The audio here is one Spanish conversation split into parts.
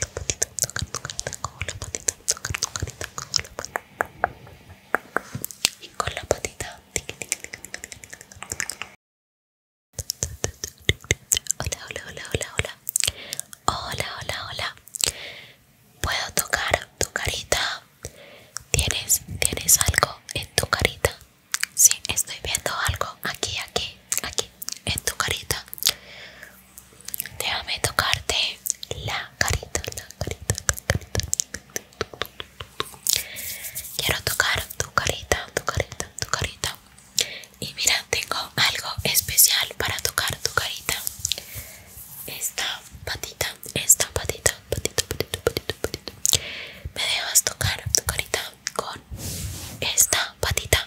la patita, tocar tu carita con la patita, tu carita con la patita y con la patita hola, hola, hola, hola, hola hola, hola, hola puedo tocar tu carita tienes, tienes algo en tu carita sí, estoy viendo algo aquí, aquí, aquí en tu carita Déjame tocarte la carita, la carita, la carita. Quiero tocar tu carita, tu carita, tu carita. Y mira, tengo algo especial para tocar tu carita. Esta patita, esta patita, patita, patita, patita, patito. Me dejas tocar tu carita con esta patita.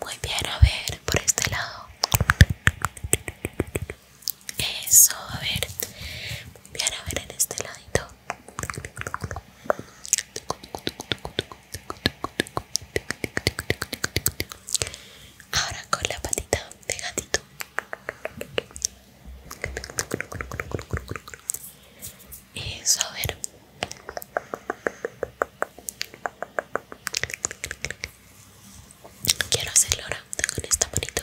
muy bien, a ver, por este lado. Eso, a ver. Muy bien, a ver en este ladito. Ahora con la patita de gatito. Eso, a ver. Quiero hacerlo ahora con esta manito.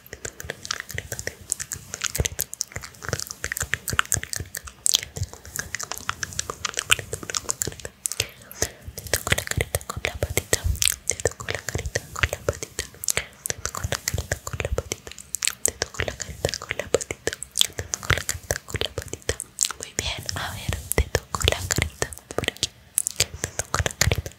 Te toco la carita con la patita. Te toco la carita con la patita. Te toco la carita con la patita. Te toco la carita con la patita. Te toco la carita con la patita. Muy bien, a ver, te toco la carita por aquí. Te toco la carita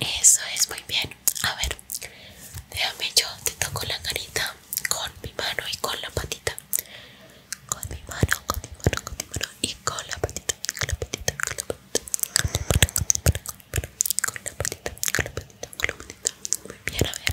Eso es muy bien. A ver, déjame yo te toco la carita con mi mano y con la patita. Con mi mano, con mi mano, con mi mano y con la patita, con la patita, con la patita. Con la patita, con la patita, con la patita. Muy bien, a ver.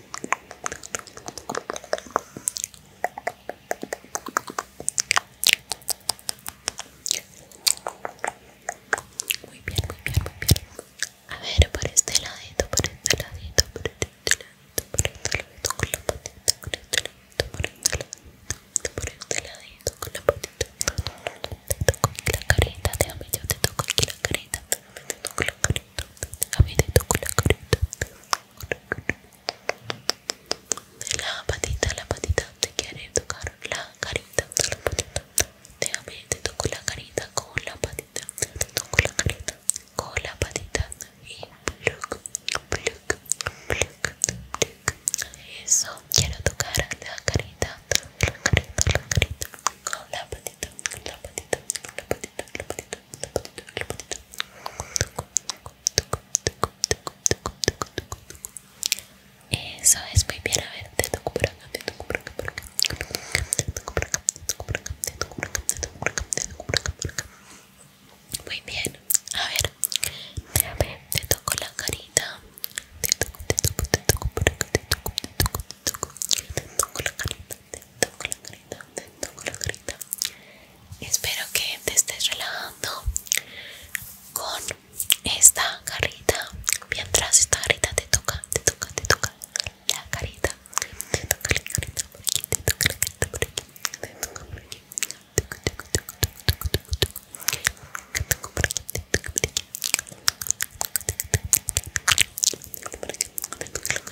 Muy bien, muy bien, muy bien. A ver, por este ladito, por este por este por este, este por este, este la Te toco la carita, déjame yo te toco aquí la la La patita, la patita, te quiere tocar la carita, la patita. te toco la carita con la patita, la carita con la patita y Eso, quiero tocar la la carita, la carita con la patita, la patita, la patita, la patita, la Eso es muy bien, a ver, te toco por acá, te toco Muy bien, a ver, te toco la carita, te toco, te toco, te te toco, te toco, te toco, te toco la carita, te la carita, te la carita. Espero que te estés relajando con esta carita. Mientras esta carita te toca, te toca, te toca la carita. toca la carita toca la carita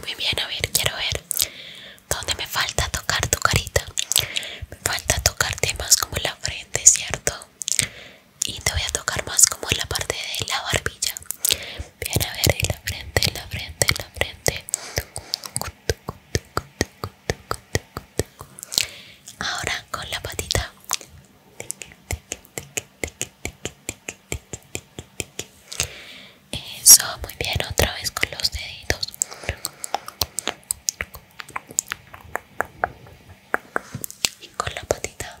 Muy bien, a ver, quiero ver dónde me falta tocar tu carita. Me falta tocar temas como la frente, ¿cierto? y te voy a tocar más como en la parte de la barbilla bien a ver en la frente en la frente en la frente ahora con la patita eso muy bien otra vez con los deditos y con la patita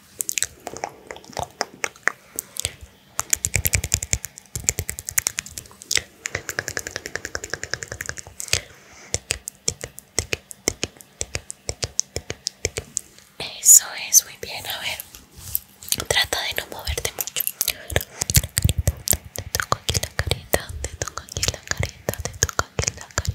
Eso es muy bien, a ver. Trata de no moverte mucho. Te toco aquí la carita, te toco aquí la carita, te toco aquí la carita.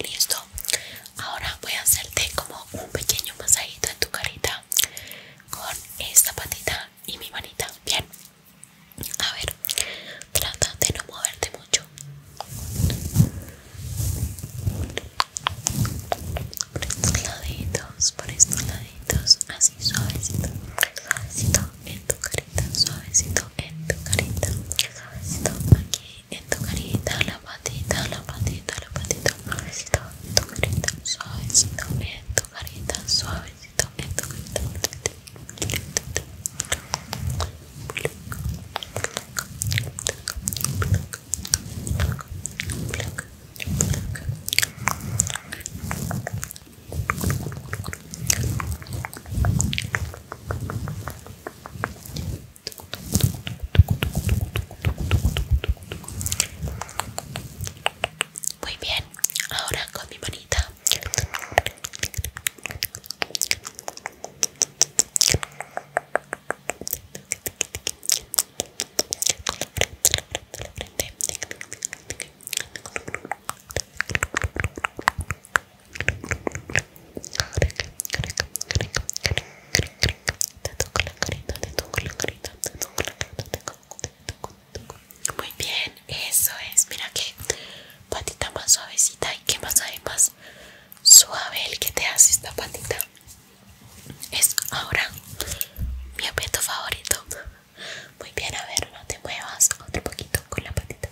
Listo. Ahora voy a hacerte como un pequeño masajito en tu carita con esta patita y mi manita. Bien. A ver, trata de no moverte mucho. Por estos laditos, por estos laditos, así suavecito, suavecito en tu carita, suavecito en tu carita, suavecito aquí en tu carita, la patita, la patita, la patita, carita, suavecito, muy bien, ahora con mi manita. Te toco la carita, te toco la carita, te toco la carita, te toco, te toco, Muy bien, eso es. Mira que patita más suavecita y que más además suave el que te hace esta patita. Es ahora mi objeto favorito. Muy bien, a ver, no te muevas otro poquito con la patita.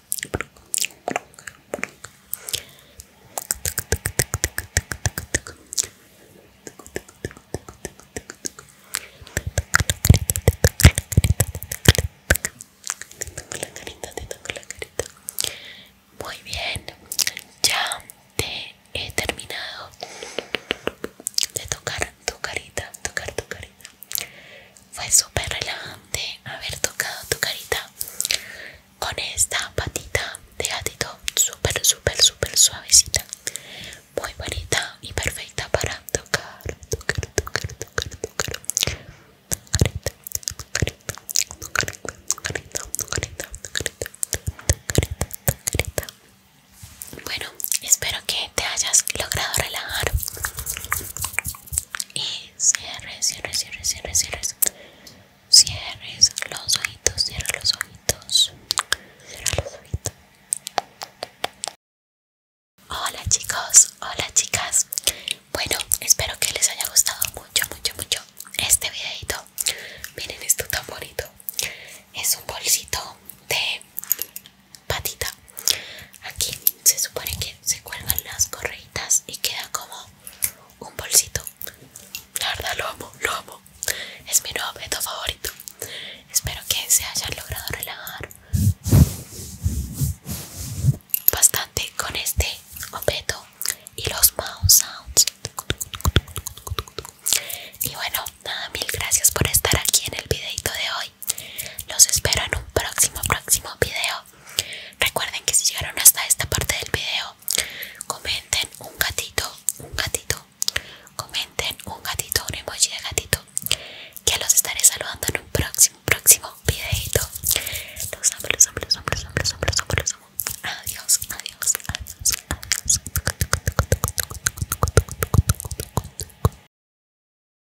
la carita, la carita. Muy bien, ya te he terminado de tocar tu carita, tocar tu carita fue súper relajante haber tocado tu carita con esta patita de gatito súper súper súper suavecita muy bonita y perfecta para tocar tocar tocar tocar carita carita carita carita carita bueno espero que te hayas logrado relajar y cierres, cierres, cierres, cierres, cierres, cierres los ojitos, cierra los ojitos, cierra los ojitos. Hola chicos, hola chicas. Bueno, espero que les haya gustado mucho, mucho, mucho este videito. Miren esto tan bonito. Es un bolsito de patita Aquí se supone que se cuelgan las correitas y queda como un bolsito. La verdad lo amo, lo amo. Es mi nuevo objeto favorito. Espero que se hayan logrado relajar bastante con este objeto y los mouse sounds. Y bueno, nada, mil gracias por estar aquí en el videito de hoy. Los espero en un próximo, próximo video. Recuerden que si llegaron hasta esta parte del video, comenten un gatito, un gatito, comenten un gatito, un emoji de gatito. Que los estaré saludando en un próximo, próximo videito. Los amo, los amo, los amo, adiós, adiós, adiós.